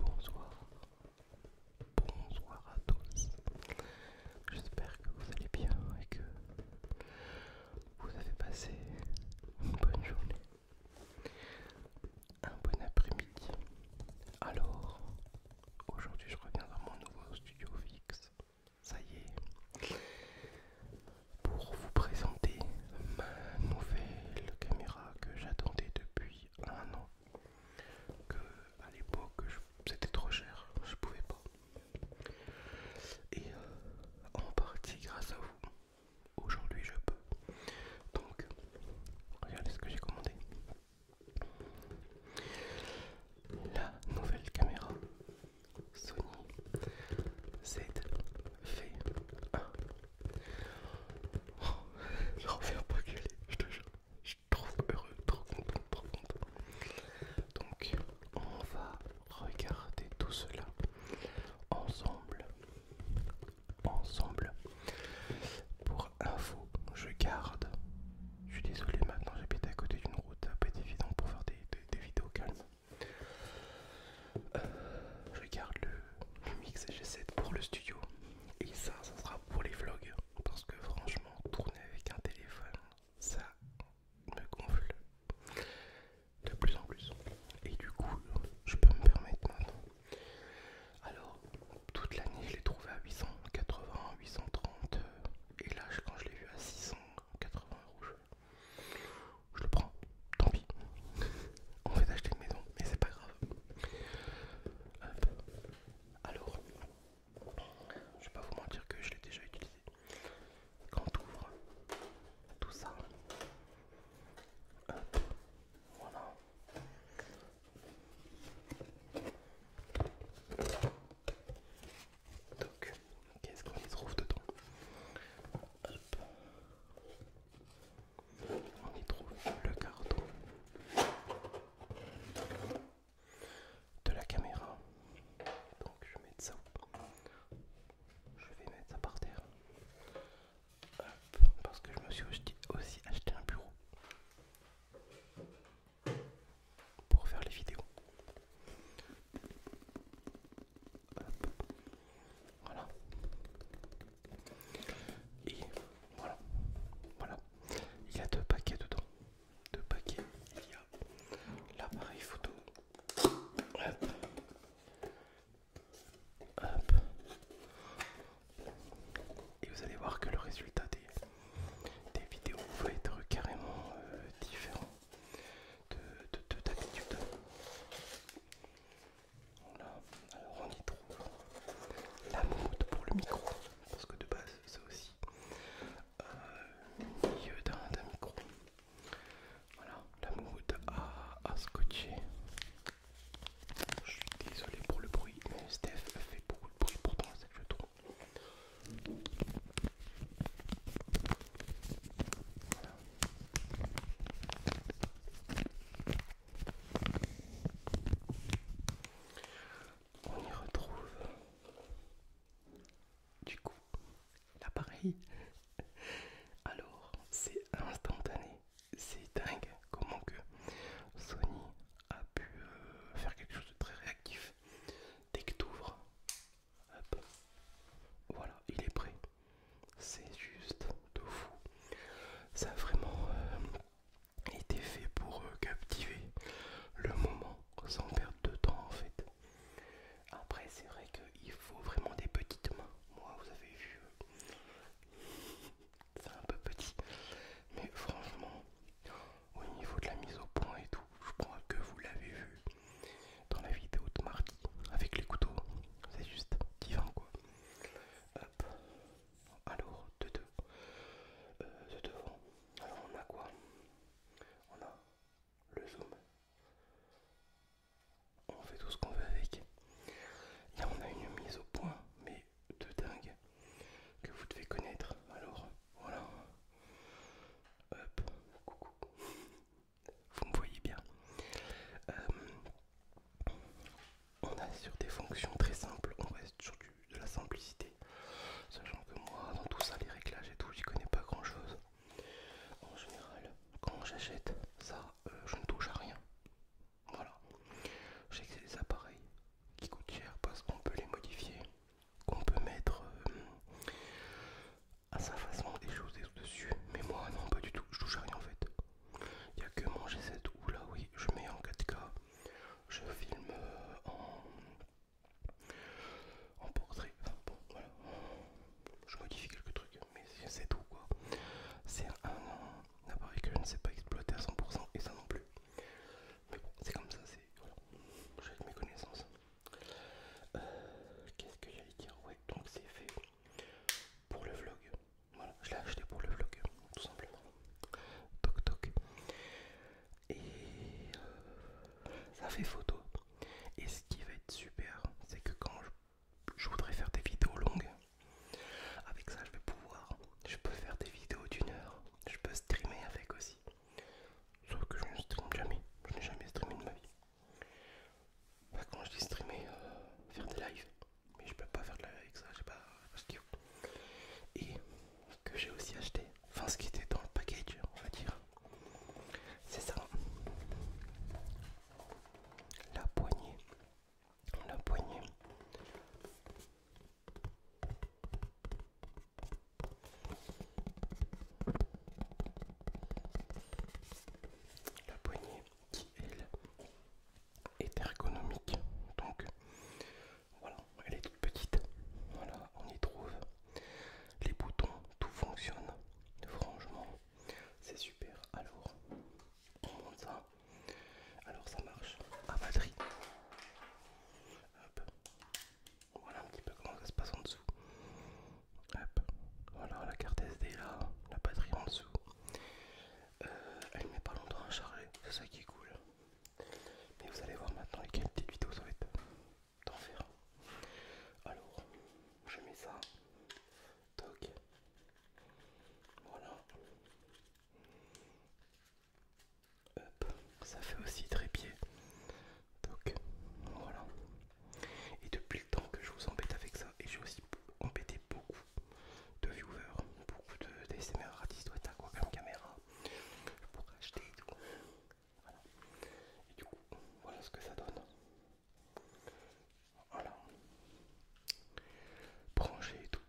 Bonsoir, bonsoir à tous. J'espère que vous allez bien et que vous avez passé une bonne journée, un bon après-midi. Alors, aujourd'hui je reviens dans mon nouveau studio fixe, ça y est, pour vous présenter ma nouvelle caméra que j'attendais depuis un an. Que à l'époque c'était trop cher, je pouvais pas. Et euh, en partie grâce à vous, aujourd'hui je peux. Donc, regardez ce que j'ai commandé. La nouvelle caméra Sony ZV1. Je refais un pas gueuler, je te jure trop heureux, trop content, trop content. Donc, on va regarder tout cela ensemble. Ensemble. Pour info, je garde. Je suis désolé, maintenant j'habite à côté d'une route, ça peu être évident pour faire des, vidéos calmes. Euh, je garde le, le mix G7 pour le studio et ça, ça sera pour les vlogs parce que franchement, tourner avec un téléphone ça me gonfle de plus en plus. Et du coup, je peux me permettre maintenant. Alors, toute l'année, je l'ai trouvé à 880, 830. Et là, quand je l'ai vu à 680 euros, je le prends. Tant pis. On fait acheter une maison, mais c'est pas grave. Alors, je vais pas vous mentir que je l'ai déjà utilisé. Quand on ouvre tout ça, voilà. Donc, qu'est-ce qu'on y trouve dedans Hop. On y trouve le carton de la caméra. Donc je vais mettre ça. Je vais mettre ça par terre. parce que je me suis aussi acheté un bureau pour faire les vidéos. Voilà. Et voilà. Voilà. Il y a deux paquets dedans de paquets il y a l'appareil photo et vous allez voir que le résultat des, des vidéos va être carrément euh, différent de d'habitude. alors on y trouve la mode pour le micro, parce que de base ça aussi euh, d'un micro. Voilà, la mood a, scotcher. Je suis désolé pour le bruit, mais Steph fait beaucoup de bruit pourtant c'est le je on y retrouve du coup l'appareil. Alors, c'est instantané, c'est dingue comment que Sony a pu euh, faire quelque chose de très réactif. Dès que t'ouvres, hop, voilà, il est prêt. C'est juste de fou. Ça vraiment euh, était fait pour euh, captiver le moment sans perdre de temps en fait. Après c'est vrai qu'il faut vraiment des petites mains. Moi vous avez vu, euh, c'est un peu petit. Mais franchement, au niveau de la mise au point et tout, je crois que vous l'avez vu dans la vidéo de mardi avec les couteaux. C'est juste divin quoi. Hop, alors, de deux. Euh, devant. Alors, on a quoi On a le zoom. On fait tout ce qu'on veut avec. Là, on a une mise au point, mais de dingue, que vous devez connaître. Alors, voilà. Hop, coucou. Vous me voyez bien. Euh, on est sur des fonctions très simples, on reste sur de la simplicité. Sachant que moi, dans tout ça, les réglages et tout, j'y connais pas grand chose. En général, quand j'achète ça, euh, je ne touche à rien. Voilà. Je sais que c'est appareils qui coûtent cher parce qu'on peut les modifier, qu'on peut mettre euh, à sa façon des choses dessus. Mais moi, non, pas du tout. Je touche à rien en fait. Il n'y a que mon G7 où là, oui, je mets en 4K je filme en, en portrait. bon, voilà. Je modifie quelques trucs, mais c'est tout quoi. C'est un, appareil que je ne sais pas exploiter à 100% et ça non plus. Mais bon, c'est comme ça, c'est. Voilà. J'ai mes connaissances. Euh, qu'est-ce que j'allais dire Ouais, donc c'est fait pour le vlog. Voilà, je l'ai acheté pour le vlog, tout simplement. Toc toc. Et euh, ça fait photo. Et ce qui va être super, c'est que quand je, voudrais faire des vidéos longues, avec ça je vais pouvoir. Je peux faire des vidéos d'une heure. Je peux streamer avec aussi. Sauf que je ne stream jamais. Je n'ai jamais streamé de ma vie. Bah, quand je dis streamer, euh, faire des lives mais je peux pas faire de la avec ça, j'ai pas, pas ce qui Et que j'ai aussi acheté, enfin ce qui était dans le package, on va dire, c'est ça, la poignée, la poignée. La poignée qui elle est ergonomique. Donc voilà, elle est toute petite. Voilà, on y trouve les boutons, tout fonctionne. Franchement, c'est super. Alors, on monte ça. Alors ça marche à batterie. Voilà un petit peu comment ça se passe en dessous. Hop. Voilà la carte SD là, la batterie en dessous. Euh, elle met pas longtemps à charger, c'est ça qui est cool. Mais vous allez voir maintenant quelle petite vidéo ça va être faire. Alors, je mets ça. Toc. Voilà. Hop. Ça fait aussi trépied. Voilà. Et depuis le temps que je vous embête avec ça, et j'ai aussi embêté beaucoup de viewers, beaucoup de d'ASMR artistes, ouais, t'as quoi comme caméra pour acheter et tout. Voilà. Et du coup, voilà ce que ça donne. Voilà. Branché et tout.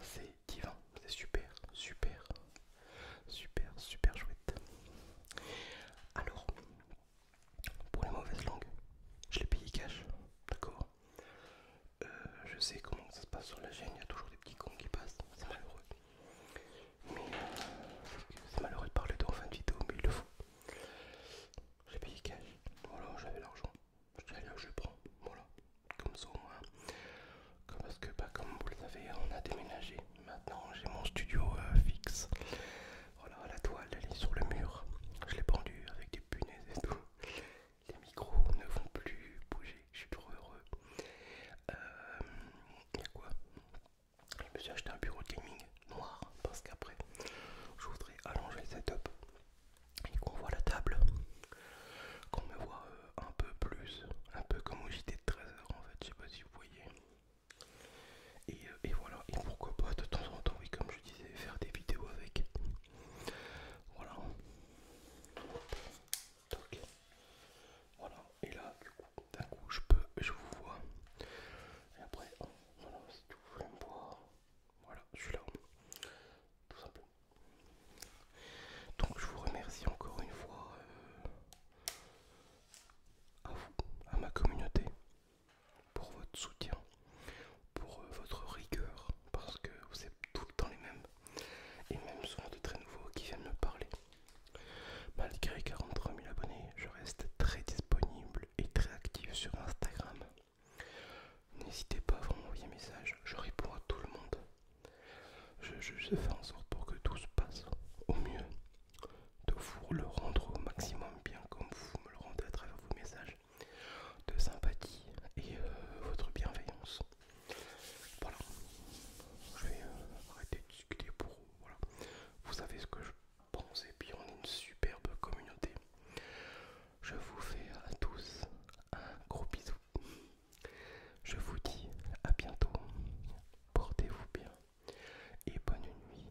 C'est divin. C'est super, super, super, super chouette. Alors, pour les mauvaises langues, je l'ai payé cash. D'accord euh, je sais comment ça se passe sur la chaîne, il y a toujours des petits cons qui passent, c'est malheureux. Mais euh, c'est malheureux de parler de en fin de vidéo, mais il le faut. J'ai payé cash, voilà, j'avais l'argent. Je là, je prends, voilà. Comme ça au moins. parce que, bah, comme vous le savez, on a déménagé. Maintenant, j'ai mon studio euh, fixe. Voilà, la toile, elle est sur le mur. Je l'ai pendue avec des punaises et tout. Les micros ne vont plus bouger, je suis trop heureux. Euh, y quoi Je me suis acheté un bureau de gaming noir parce qu'après, je voudrais allonger le setup et qu'on voit la table, qu'on me voit euh, un peu plus, un peu comme au JT de 13h en fait, je sais pas si vous voyez. Euh, et, voilà, et pourquoi pas de temps en temps, oui, comme je disais, faire des vidéos avec. Voilà. Voilà. Et là, du coup, d'un coup, je peux, je vous vois. Et après, voilà, si tu voulais me voir, voilà, je suis là. Tout simplement. Donc, je vous remercie encore une fois euh, à vous, à ma communauté pour votre soutien, pour euh, votre rigueur, parce que vous êtes tout le temps les mêmes, et même souvent de très nouveaux qui viennent me parler. Malgré 43 000 abonnés, je reste très disponible et très actif sur Instagram. N'hésitez pas à m'envoyer un message, je réponds à tout le monde. Je, je fais en sorte pour que tout se passe au mieux, de vous le rendre au maximum bien comme vous me le rendez à travers vos messages de sympathie et euh, votre bienveillance. Voilà, je vais euh, arrêter de discuter pour voilà. Vous savez ce que je pense et puis on est une superbe communauté. Je vous fais à tous un gros bisou. Je vous dis à bientôt. Portez-vous bien et bonne nuit